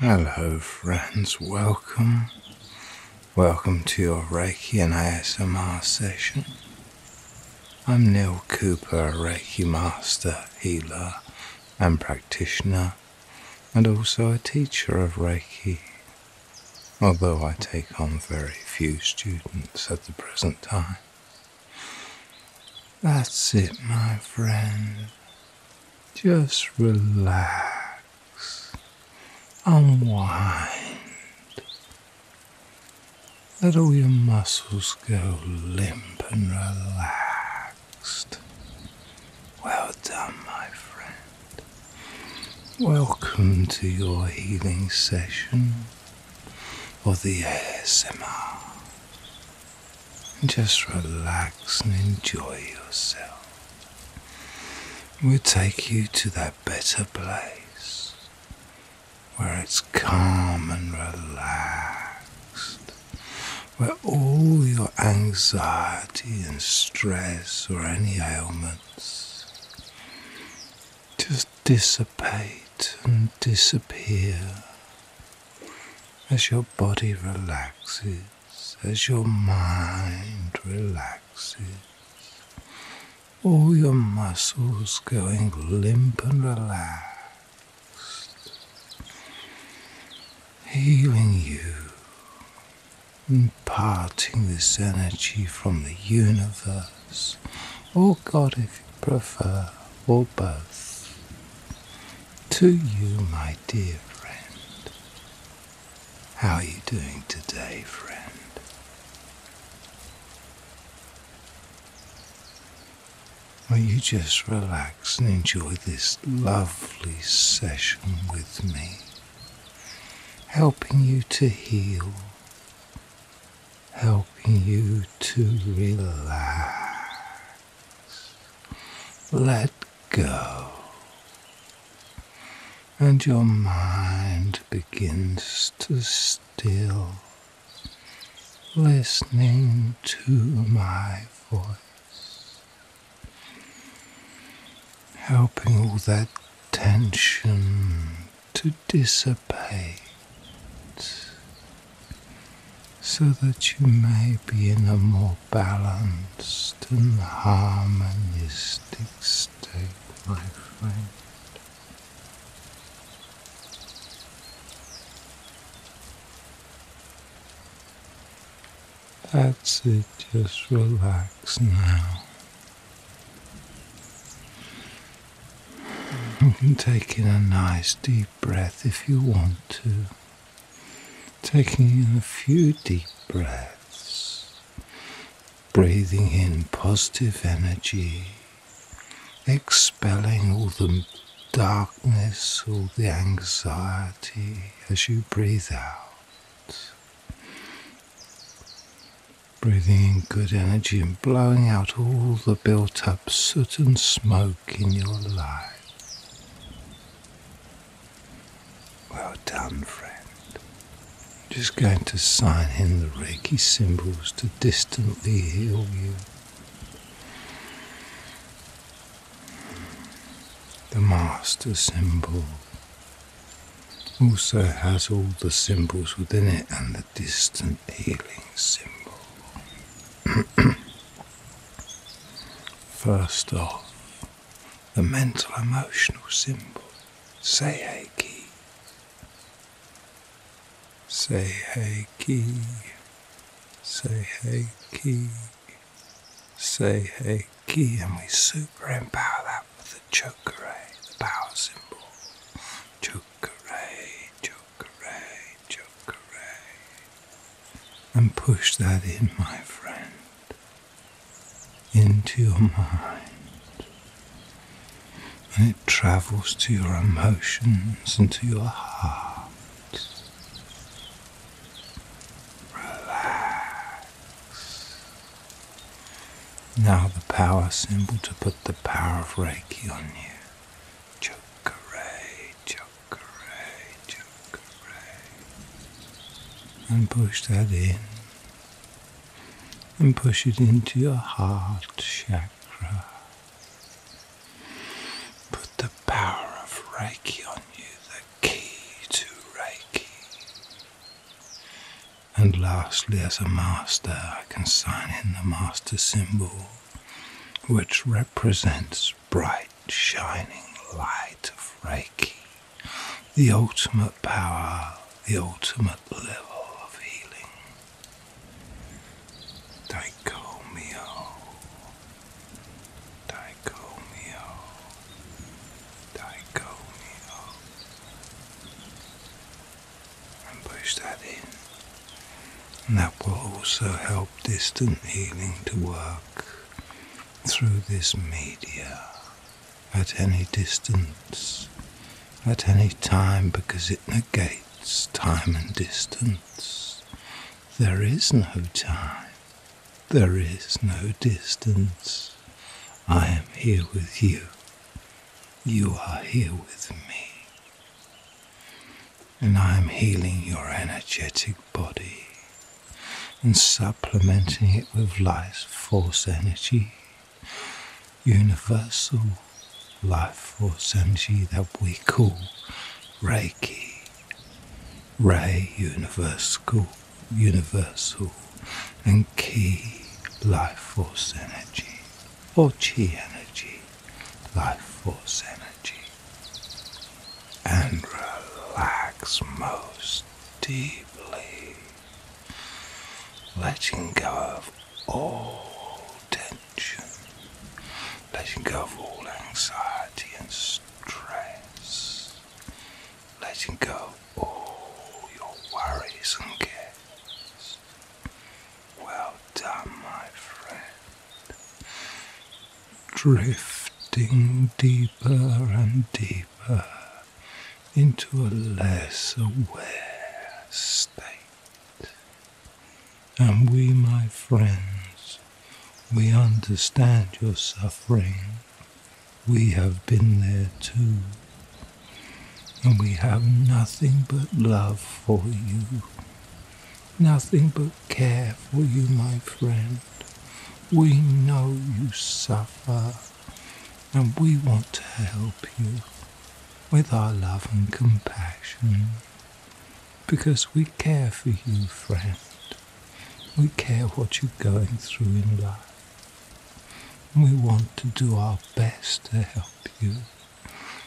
Hello, friends. Welcome. Welcome to your Reiki and ASMR session. I'm Neil Cooper, Reiki Master, Healer, and Practitioner, and also a teacher of Reiki, although I take on very few students at the present time. That's it, my friend. Just relax, unwind, let all your muscles go limp and relaxed. Well done, my friend. Welcome to your healing session or the ASMR. Just relax and enjoy yourself. We'll take you to that better place where it's calm and relaxed, where all your anxiety and stress or any ailments just dissipate and disappear as your body relaxes as your mind relaxes, all your muscles going limp and relaxed, healing you, imparting this energy from the universe, or God if you prefer, or both, to you, my dear friend. How are you doing today, friend? Will you just relax and enjoy this lovely session with me? Helping you to heal, helping you to relax let go. And your mind begins to still, listening to my voice, helping all that tension to dissipate so that you may be in a more balanced and harmonistic state, my friend. That's it, just relax now. You can take in a nice deep breath if you want to. Taking in a few deep breaths, breathing in positive energy, expelling all the darkness, all the anxiety as you breathe out. Breathing in good energy and blowing out all the built up soot and smoke in your life. Well done, friend. Just going to sign in the Reiki symbols to distantly heal you. The master symbol also has all the symbols within it and the distant healing symbol. First off, the mental emotional symbol say say Seiheki. Seiheki. Seiheki. Seiheki. And we super empower that with the chokure, the power symbol. Chokure, chokure, chokure and push that in, my friend, into your mind. And it travels to your emotions and to your heart. Relax. Now the power symbol to put the power of Reiki on you. Chokare, chokare. And push that in. And push it into your heart chakra. Put the power of Reiki on you, the key to Reiki. And lastly, as a master, I can sign in the master symbol, which represents bright, shining light of Reiki, the ultimate power, the ultimate level of healing. Daiko Mio, Daiko And push that in. And that will also help distant healing to work through this media at any distance, at any time, because it negates time and distance. There is no time, there is no distance. I am here with you, you are here with me. And I am healing your energetic body and supplementing it with life force energy, universal life force energy that we call Reiki, Ray Universal, Universal, and key life force energy, or Chi energy, life force energy and relax most deeply, letting go of all tension, letting go of all anxiety and stress, letting go of all your worries and cares. Well done, my friend drifting deeper and deeper into a less aware state. And we, my friends, we understand your suffering. We have been there too. And we have nothing but love for you. Nothing but care for you, my friend. We know you suffer, and we want to help you with our love and compassion because we care for you, friend. We care what you're going through in life. We want to do our best to help you.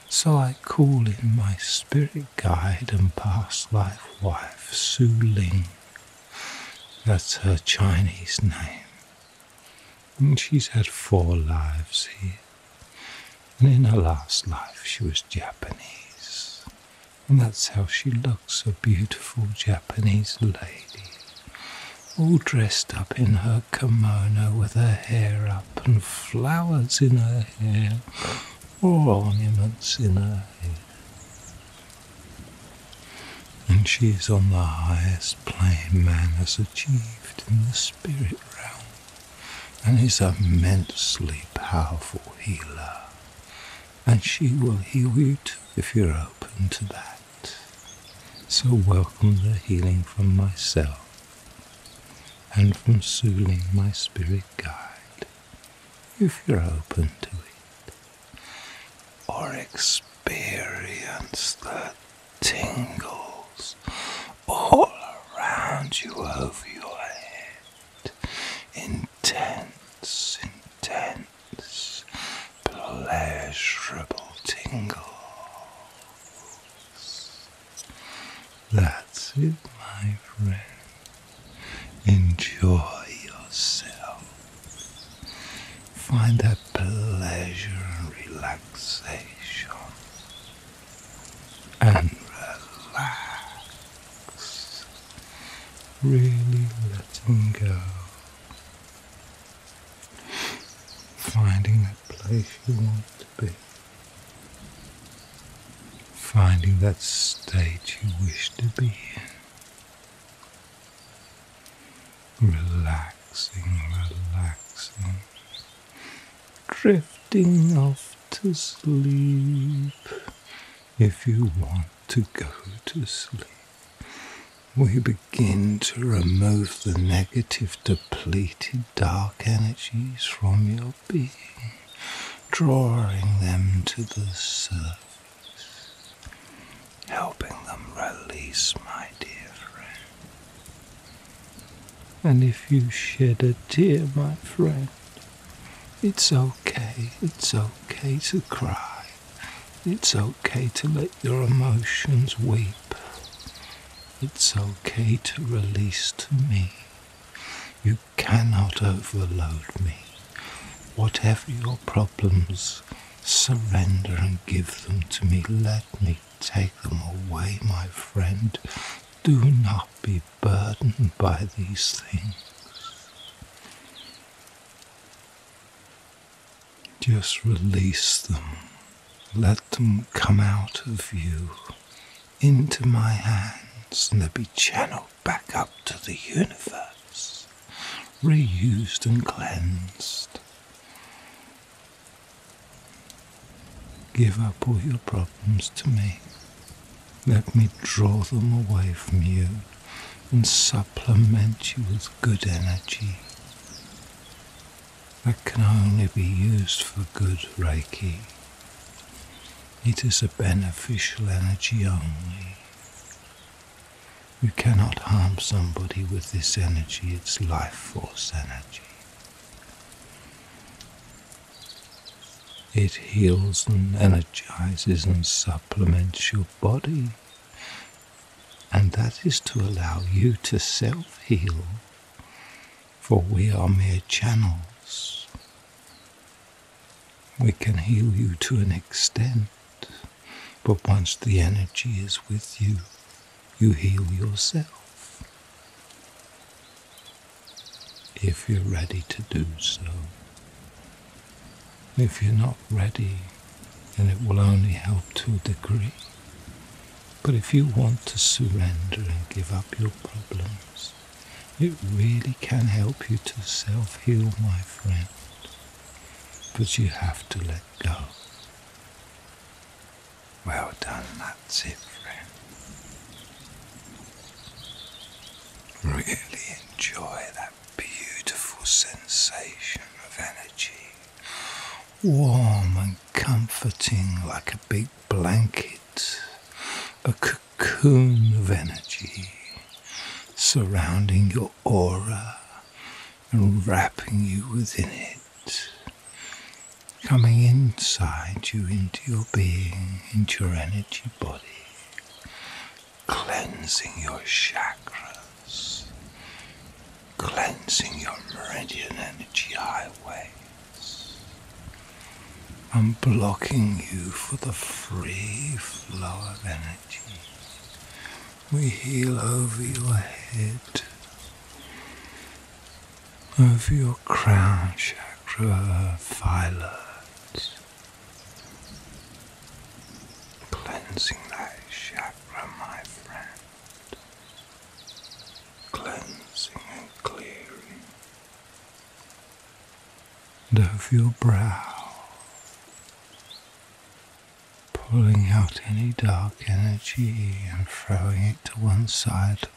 So I call in my spirit guide and past life wife, Su Ling, that's her Chinese name. And she's had four lives here. And in her last life, she was Japanese. And that's how she looks a beautiful Japanese lady. All dressed up in her kimono with her hair up and flowers in her hair or ornaments in her hair and she is on the highest plane man has achieved in the spirit realm and is an immensely powerful healer. And she will heal you if you're open to that. So welcome the healing from myself and from soothing my spirit guide if you're open to it or experience that tingles all around you over your head. Intense, intense, pleasurable tingles. That's it, my friend. Enjoy yourself. Find that pleasure and relaxation. And relax. Really letting go. Finding that place you want to be finding that state you wish to be in relaxing, relaxing, drifting off to sleep if you want to go to sleep. We begin to remove the negative, depleted dark energies from your being, drawing them to the surface helping them release, my dear friend. And if you shed a tear, my friend, it's okay, it's okay to cry, it's okay to let your emotions weep, it's okay to release to me. You cannot overload me. Whatever your problems, surrender and give them to me. Let me take them away, my friend. Do not be burdened by these things. Just release them. Let them come out of you into my hands and they be channeled back up to the universe, reused and cleansed. Give up all your problems to me. Let me draw them away from you and supplement you with good energy that can only be used for good Reiki. It is a beneficial energy only. You cannot harm somebody with this energy, it's life force energy. It heals and energizes and supplements your body. And that is to allow you to self heal, for we are mere channels. We can heal you to an extent. But once the energy is with you, you heal yourself. If you're ready to do so. If you're not ready, then it will only help to a degree. But if you want to surrender and give up your problems, it really can help you to self heal, my friend but you have to let go. Well done, that's it, friend. Really enjoy that beautiful sensation of energy, warm and comforting like a big blanket, a cocoon of energy surrounding your aura and wrapping you within it, coming inside you into your being, into your energy body, cleansing your chakras, cleansing your meridian energy highways, blocking you for the free flow of energy. We heal over your head, over your crown chakra, violets, cleansing that chakra, my friend, cleansing and clearing, and over your brow pulling out any dark energy and throwing it to one side,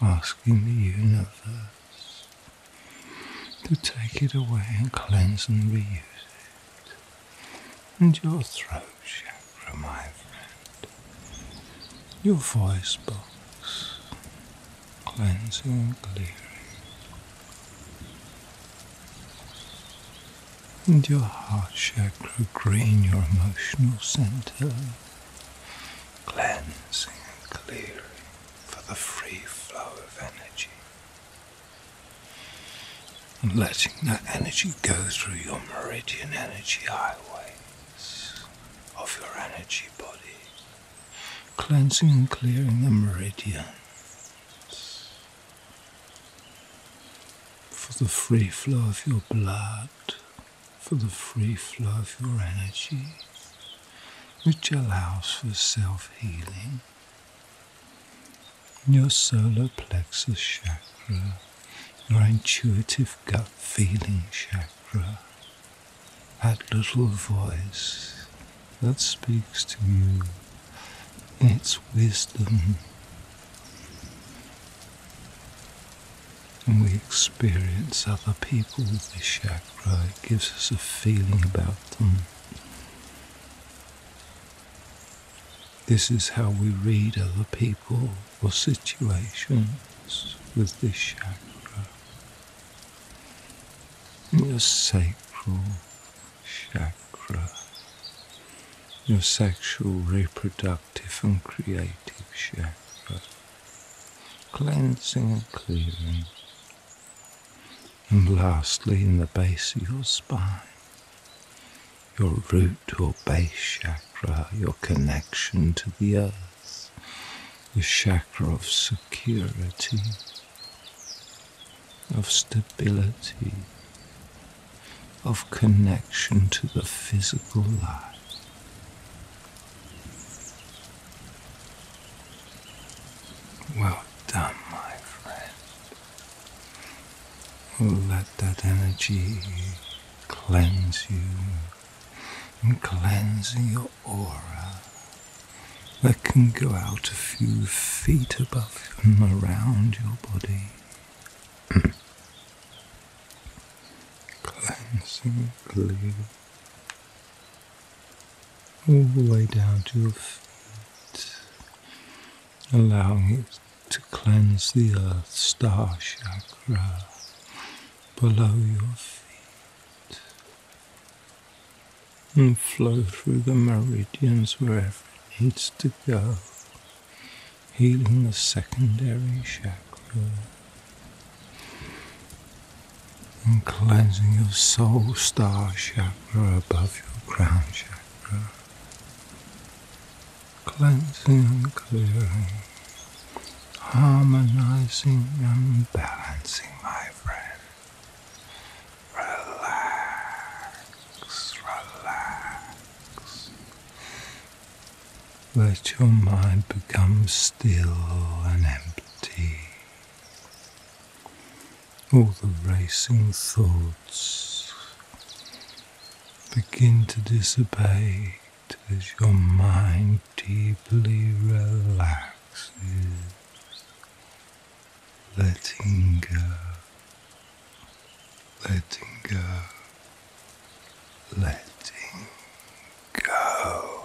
asking the universe to take it away and cleanse and reuse it. And your throat chakra, my friend, your voice box, cleansing and clearing and your heart chakra green, your emotional center, cleansing and clearing for the free flow of energy. And letting that energy go through your meridian energy highways of your energy body, cleansing and clearing the meridian for the free flow of your blood, for the free flow of your energy, which allows for self healing. Your solar plexus chakra, your intuitive gut feeling chakra, that little voice that speaks to you its wisdom. And we experience other people with this chakra. It gives us a feeling about them. This is how we read other people or situations with this chakra. Your sacral chakra, your sexual, reproductive, and creative chakra, cleansing and clearing. And lastly, in the base of your spine, your root or base chakra, your connection to the earth, the chakra of security, of stability, of connection to the physical life. Well done, my friend. Let that energy cleanse you and cleanse your aura that can go out a few feet above and around your body. Cleansing glue all the way down to your feet, allowing it to cleanse the earth star chakra below your feet and flow through the meridians wherever it needs to go, healing the secondary chakra and cleansing your soul star chakra above your crown chakra, cleansing and clearing, harmonizing and balancing, my friend. Relax, relax. Let your mind become still and empty. All the racing thoughts begin to dissipate as your mind deeply relaxes letting go, letting go, letting go.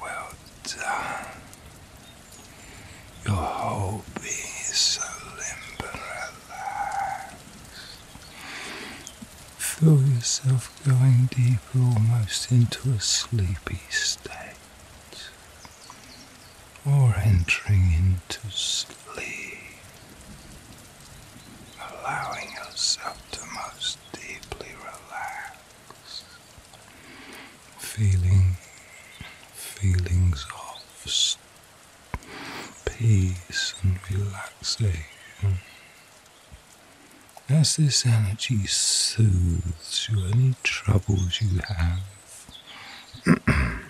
Well done. Your whole being is so limber and relaxed. Feel yourself going deeper, almost into a sleepy state or entering into sleep, allowing yourself to most deeply relax, feeling feelings of peace and relaxation as this energy soothes you, any troubles you have,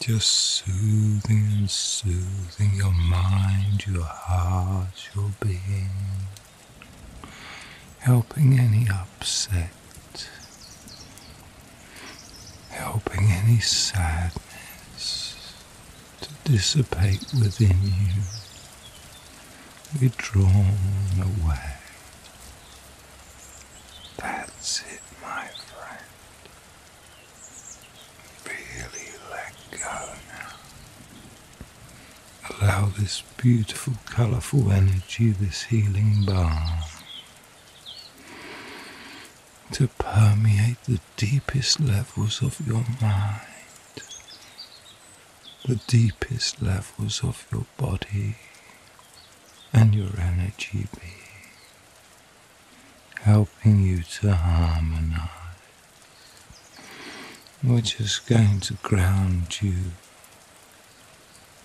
just soothing and soothing your mind, your heart, your being, helping any upset, helping any sadness to dissipate within you be drawn away. That's it, my friend. Really let go now. Allow this beautiful, colourful energy, this healing balm, to permeate the deepest levels of your mind the deepest levels of your body and your energy being, helping you to harmonize. We're just going to ground you.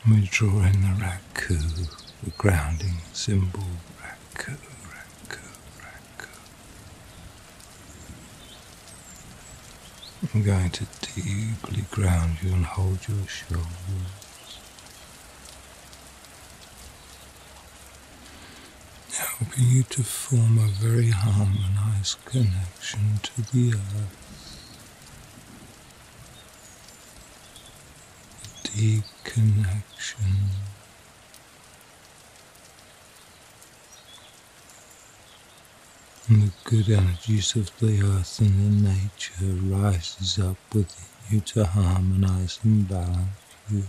We're drawing the raku, the grounding symbol, raku, raku, raku. I'm going to deeply ground you and hold your shoulders. Helping you to form a very harmonized connection to the earth. A deep connection and the good energies of the earth and the nature rises up within you to harmonize and balance you.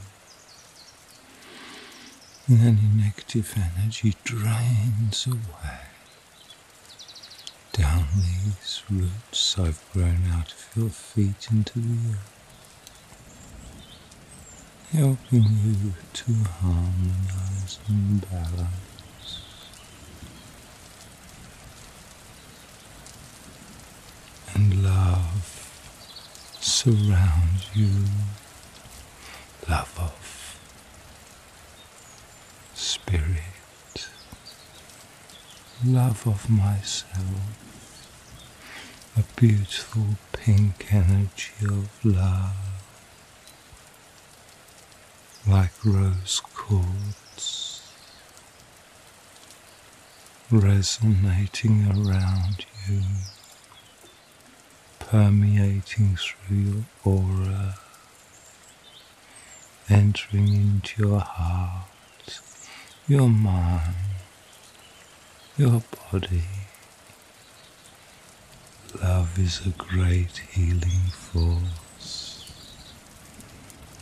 And any negative energy drains away. Down these roots I've grown out of your feet into the earth helping you to harmonize and balance. And love surrounds you, love of spirit, love of myself. A beautiful pink energy of love like rose chords resonating around you, permeating through your aura, entering into your heart, your mind, your body, Love is a great healing force.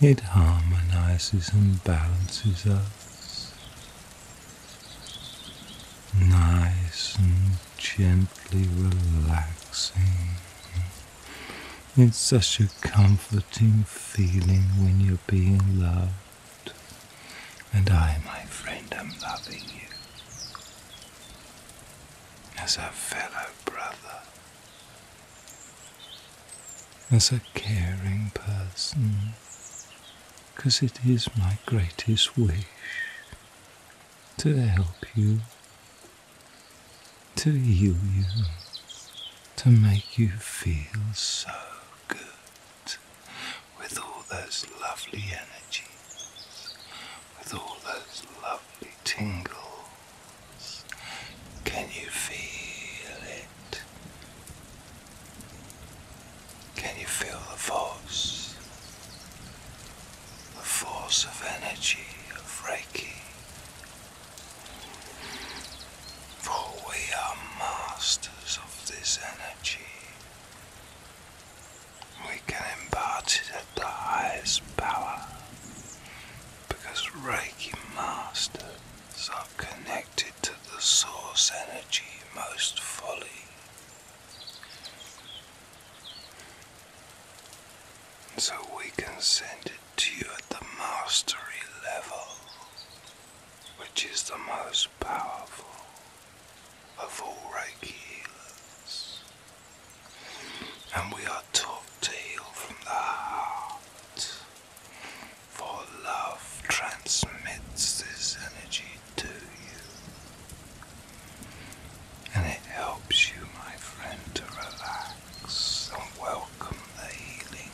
It harmonizes and balances us. Nice and gently relaxing. It's such a comforting feeling when you're being loved. And I, my friend, am loving you as a fellow brother, as a caring person, because it is my greatest wish to help you, to heal you, to make you feel so good with all those lovely energies with all those lovely tingles. Can you feel it? Can you feel the force? The force of energy of Reiki. For we are masters of this energy we can impart it at the highest power because Reiki masters are connected to the source energy most fully. So we can send it to you at the mastery level, which is the most powerful of all Reiki healers, and we are taught to heal from the heart, for love transmits this energy to you, and it helps you, my friend, to relax and welcome the healing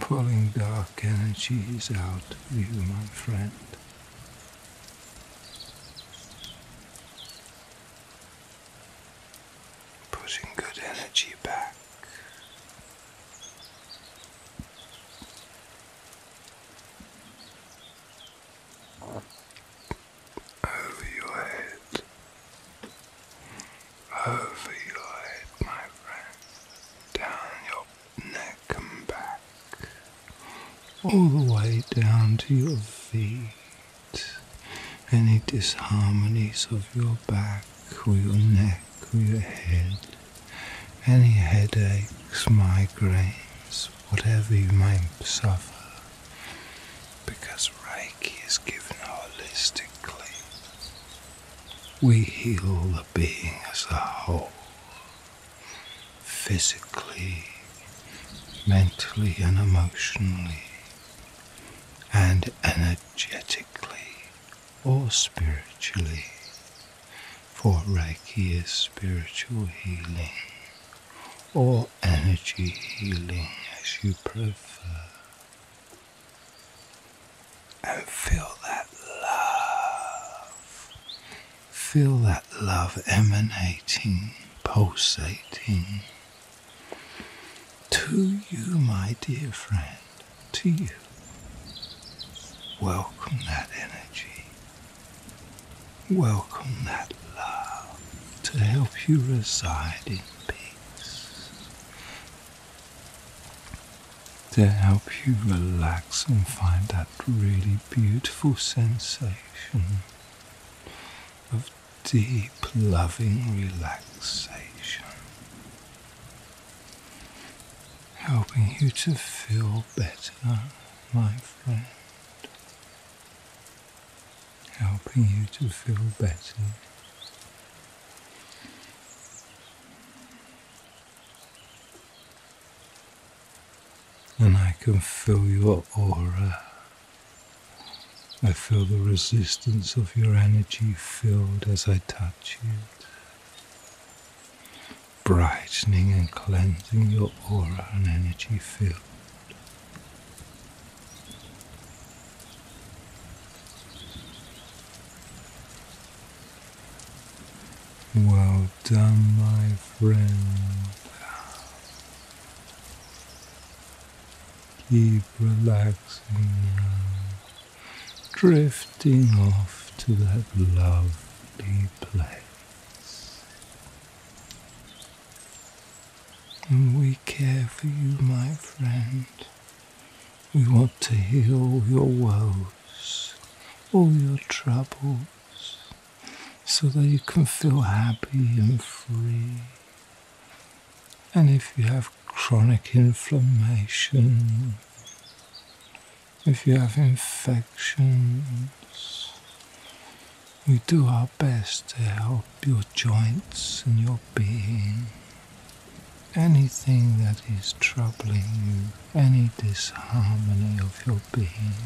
pulling dark energies out of you, my friend. Putting good energy back over your head, over your head, my friend, down your neck and back, all the way down to your feet. Any disharmonies of your back or your neck or your head, any headaches, migraines, whatever you may suffer, because Reiki is given holistically. We heal the being as a whole, physically, mentally, and emotionally, and energetically or spiritually. For Reiki is spiritual healing or energy healing as you prefer and feel that love. Feel that love emanating, pulsating to you, my dear friend, to you. Welcome that energy. Welcome that love to help you reside in peace to help you relax and find that really beautiful sensation of deep, loving relaxation, helping you to feel better, my friend helping you to feel better. And I can feel your aura. I feel the resistance of your energy field as I touch it, brightening and cleansing your aura and energy field. Well done, my friend. Keep relaxing now, drifting off to that lovely place and we care for you, my friend. We want to heal all your woes, all your troubles, so that you can feel happy and free. And if you have chronic inflammation, if you have infections, we do our best to help your joints and your being. Anything that is troubling you, any disharmony of your being.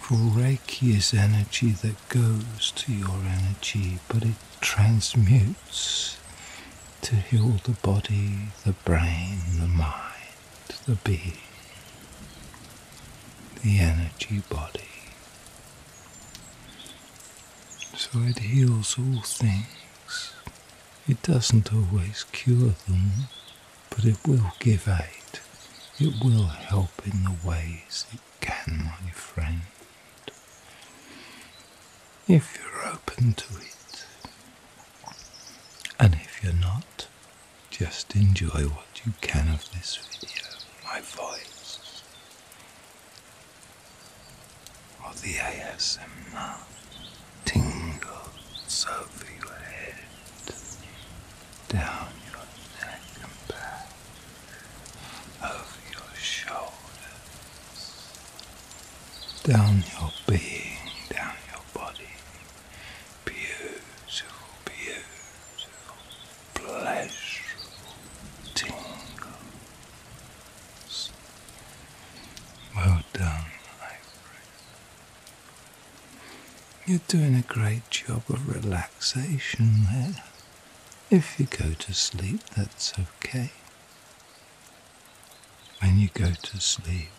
For Reiki is energy that goes to your energy, but it transmutes to heal the body, the brain, the mind, the being, the energy body. So it heals all things. It doesn't always cure them, but it will give aid. It will help in the ways it can, my friend. If you're open to it. And if you're not, just enjoy what you can of this video, my voice or the ASMR tingles over your head, down your neck and back, over your shoulders, down your being, down your body. Beautiful, beautiful, pleasure tingles. Well done, You're doing a great job of relaxation there. If you go to sleep, that's okay. When you go to sleep,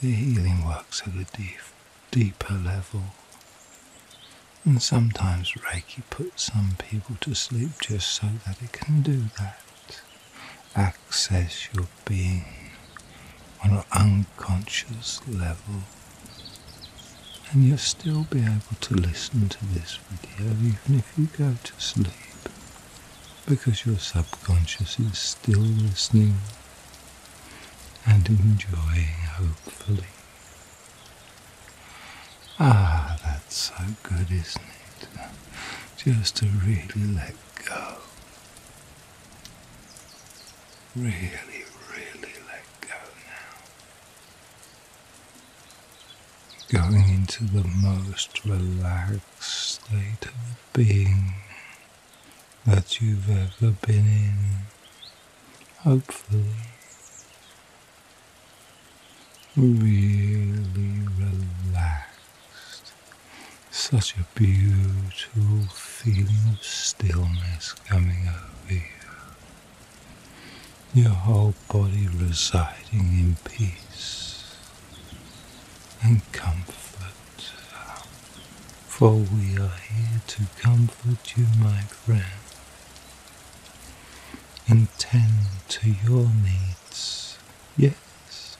the healing works a good deal deeper level. And sometimes Reiki puts some people to sleep just so that it can do that. Access your being on an unconscious level. And you'll still be able to listen to this video even if you go to sleep. Because your subconscious is still listening and enjoying, hopefully, Ah, that's so good, isn't it? Just to really let go. Really, really let go now. Going into the most relaxed state of being that you've ever been in hopefully really relaxed. Such a beautiful feeling of stillness coming over you. Your whole body residing in peace and comfort. For we are here to comfort you, my friend and tend to your needs, yes,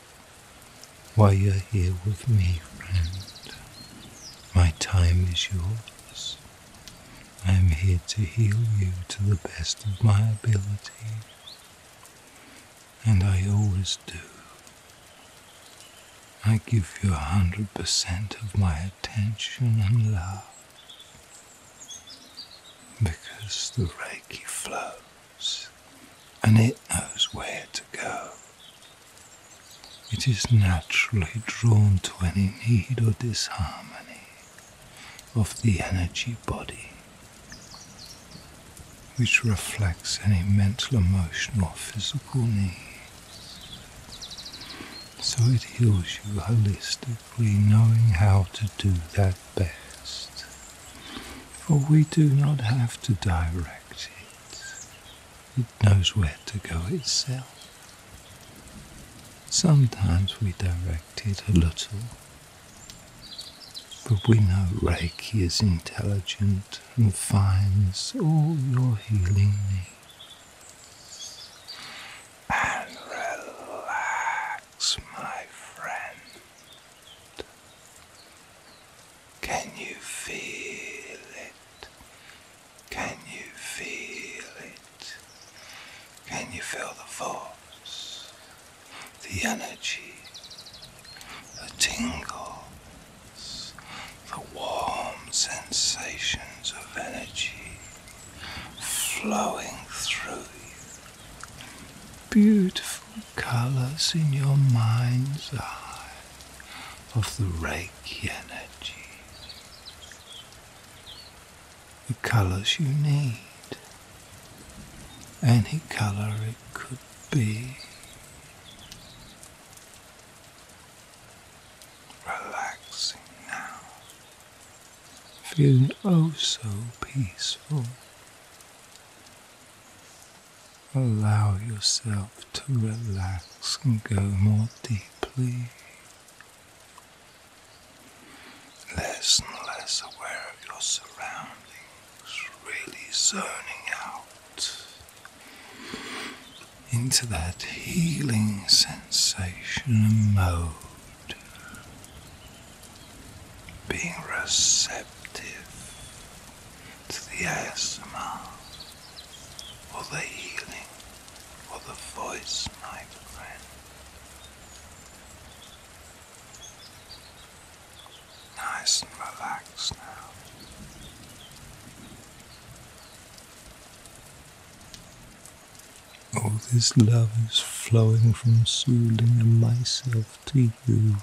while you're here with me, friend. My time is yours. I am here to heal you to the best of my abilities, and I always do. I give you a hundred percent of my Tension and love because the Reiki flows and it knows where to go. It is naturally drawn to any need or disharmony of the energy body, which reflects any mental, emotional, or physical needs. So it heals you holistically, knowing how to do that best. For we do not have to direct it, it knows where to go itself. Sometimes we direct it a little, but we know Reiki is intelligent and finds all your healing needs and relax, my friend. Can you feel it? Can you feel it? Can you feel the force, the energy, the tingles, the warm sensations of energy? flowing through you. Beautiful colors in your mind's eye of the Reiki energy. The colors you need. Any color it could be. Relaxing now feeling oh so peaceful. Allow yourself to relax and go more deeply. Less and less aware of your surroundings, really zoning out into that healing sensation mode, being receptive to the ASMR or the healing or the voice, my Nice and relaxed now. All this love is flowing from soothing myself to you.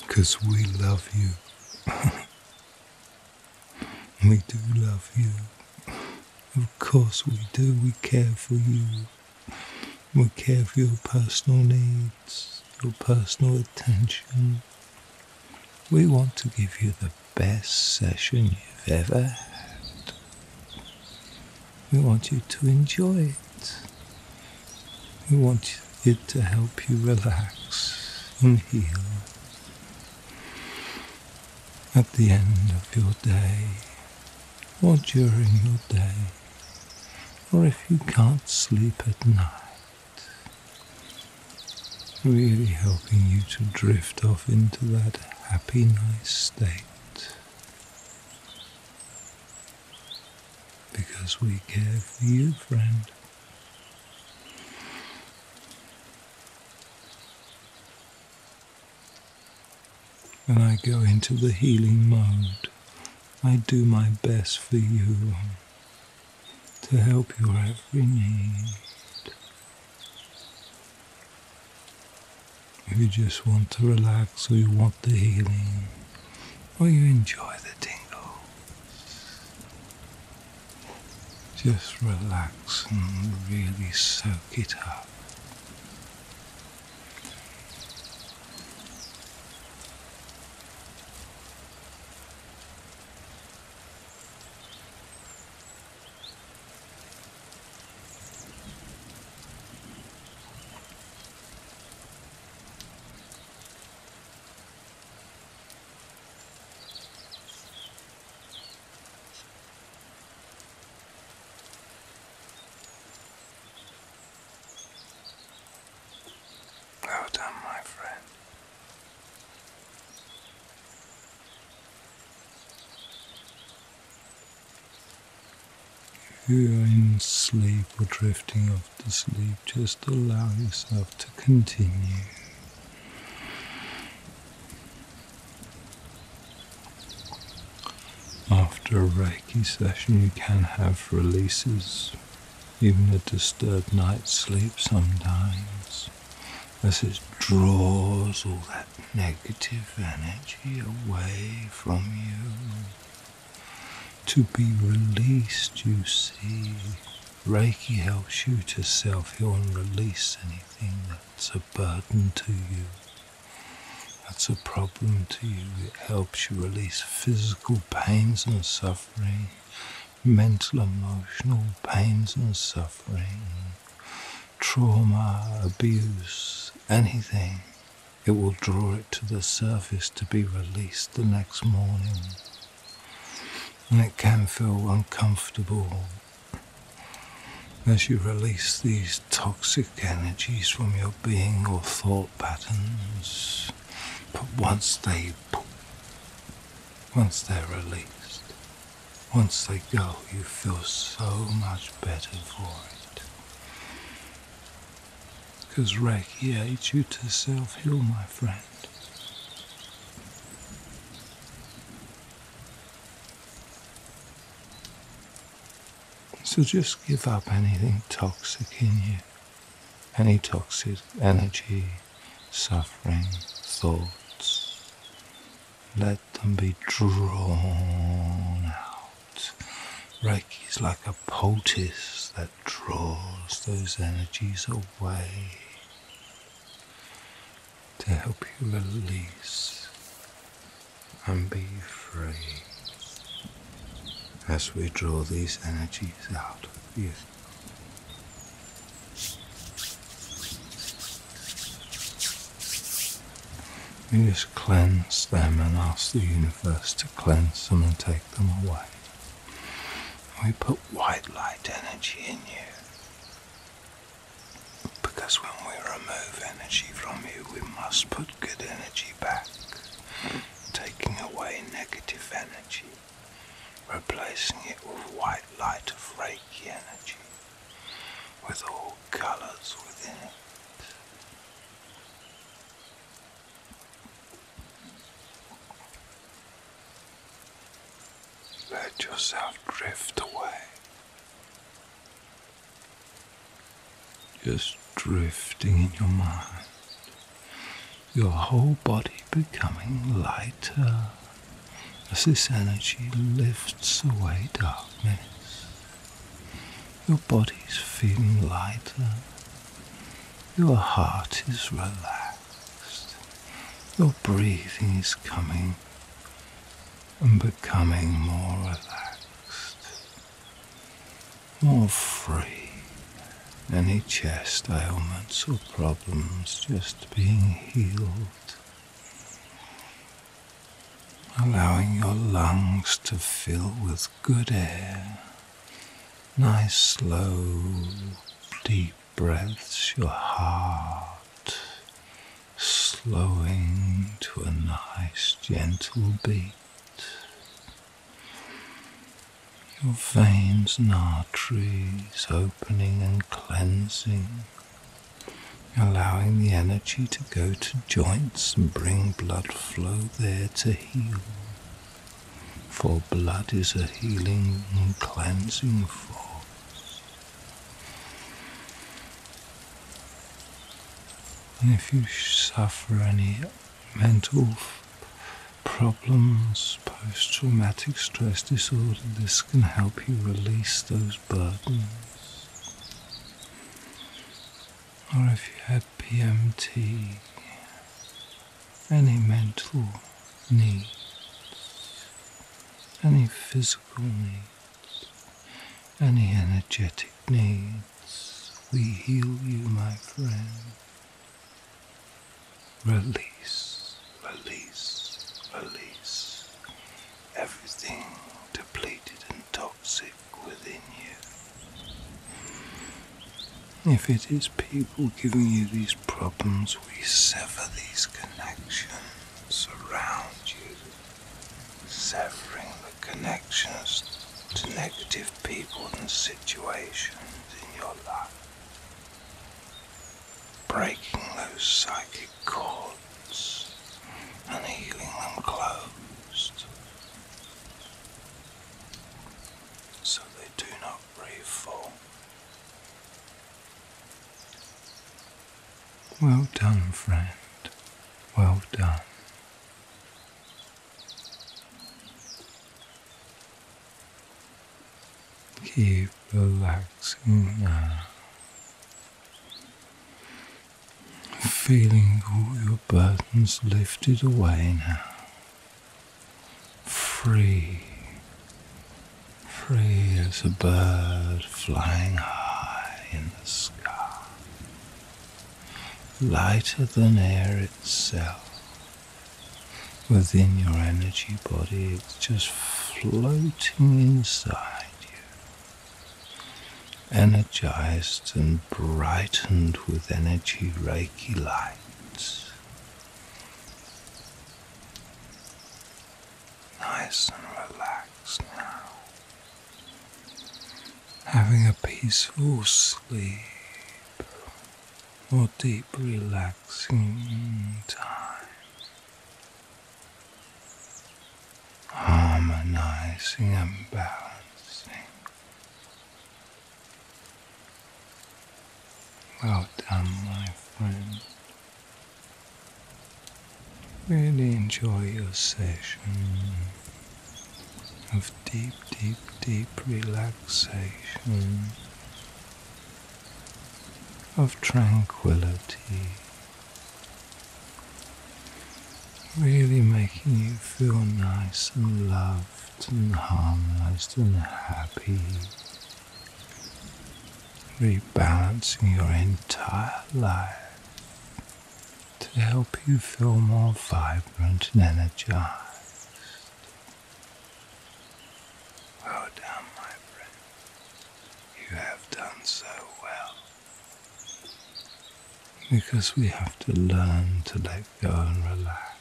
Because we love you. we do love you. Of course we do. We care for you. We care for your personal needs, your personal attention, we want to give you the best session you've ever had. We want you to enjoy it. We want it to help you relax and heal. At the end of your day, or during your day, or if you can't sleep at night, Really helping you to drift off into that happy, nice state. Because we care for you, friend. When I go into the healing mode, I do my best for you to help your every need. If you just want to relax or you want the healing or you enjoy the tingles, just relax and really soak it up. Well done, my friend. If You are in sleep or drifting off to sleep, just allow yourself to continue. After a Reiki session, you can have releases, even a disturbed night's sleep sometimes. This draws all that negative energy away from you to be released, you see. Reiki helps you to self heal and release anything that's a burden to you, that's a problem to you. It helps you release physical pains and suffering mental, emotional pains and suffering, trauma, abuse, anything. It will draw it to the surface to be released the next morning. And it can feel uncomfortable as you release these toxic energies from your being or thought patterns. But once they once they're released, once they go, you feel so much better for it. Because Reiki you to self heal, my friend. So just give up anything toxic in you, any toxic energy, suffering, thoughts, let them be drawn out. Reiki is like a poultice that draws those energies away to help you release and be free as we draw these energies out of you. We just cleanse them and ask the universe to cleanse them and take them away. We put white light energy in you. Because when we remove energy from you, we must put good energy back, taking away negative energy, replacing it with white light of Reiki energy with all colours within it. Let yourself drift away. Just drifting in your mind, your whole body becoming lighter as this energy lifts away darkness. Your body is feeling lighter. Your heart is relaxed. Your breathing is coming and becoming more relaxed, more free. Any chest ailments or problems just being healed allowing your lungs to fill with good air. Nice, slow, deep breaths, your heart slowing to a nice, gentle beat. Your veins and trees, opening and cleansing allowing the energy to go to joints and bring blood flow there to heal. For blood is a healing and cleansing force. And if you suffer any mental problems, post traumatic stress disorder, this can help you release those burdens. Or if you have PMT, any mental needs, any physical needs, any energetic needs, we heal you, my friend. Release, release, release everything depleted and toxic within you. If it is people giving you these problems, we sever these connections around you, severing the connections to negative people and situations in your life breaking those psychic cords and healing them closed so they do not breathe. reform. Well done, friend. Well done. Keep relaxing now. Feeling all your burdens lifted away now. Free, free as a bird flying high in the sky, lighter than air itself. Within your energy body, it's just floating inside you, energized and brightened with energy Reiki lights. Nice and relaxed now. Having a peaceful sleep or deep relaxing time harmonizing and balancing. Well done, my friend. Really enjoy your session of deep, deep, deep relaxation, of tranquility. Really making you feel nice and loved and harmonized and happy. Rebalancing your entire life to help you feel more vibrant and energized. Well done, my friend. You have done so well. Because we have to learn to let go and relax.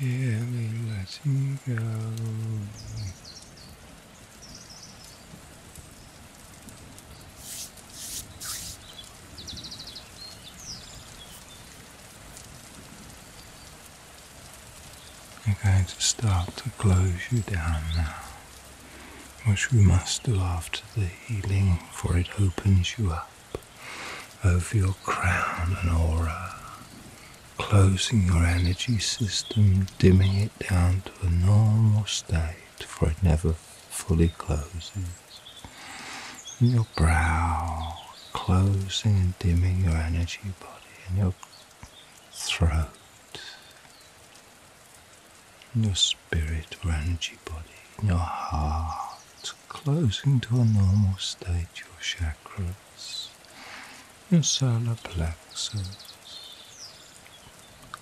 Really letting go. You're going to start to close you down now, which we must do after the healing, for it opens you up over your crown and aura, closing your energy system, dimming it down to a normal state, for it never fully closes and your brow, closing and dimming your energy body and your throat your spirit or energy body and your heart, closing to a normal state, your chakras, your solar plexus,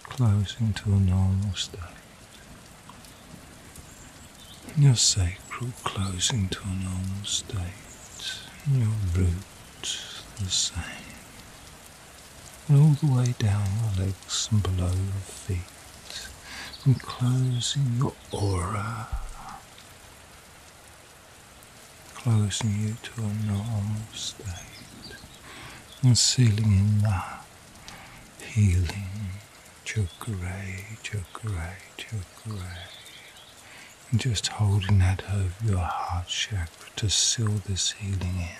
closing to a normal state. Your sacral closing to a normal state, your root the same, and all the way down the legs and below your feet, and closing your aura, closing you to a normal state, and sealing in that healing great, chakra, chakra, great. And just holding that over your heart chakra to seal the healing in.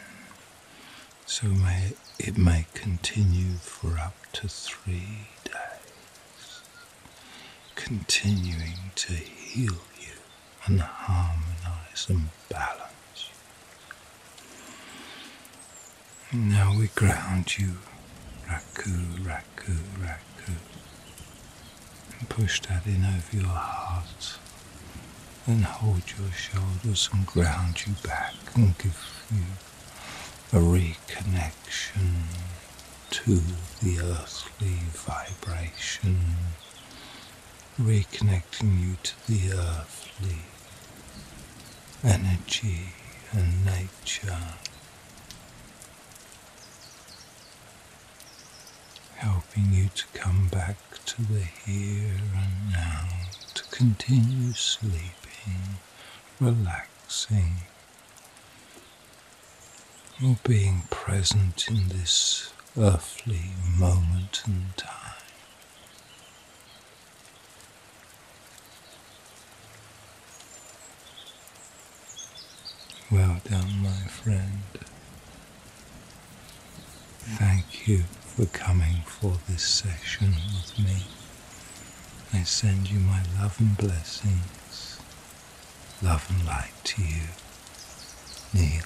So may it may continue for up to three days, continuing to heal you and harmonize and balance. Now we ground you, Raku, Raku, Raku, and push that in over your heart. Then hold your shoulders and ground you back and give you a reconnection to the earthly vibration, reconnecting you to the earthly energy and nature helping you to come back to the here and now, to continue sleeping, relaxing, or being present in this earthly moment and time. Well done, my friend. Thank you for coming for this session with me. I send you my love and blessings, love and light to you. Neil.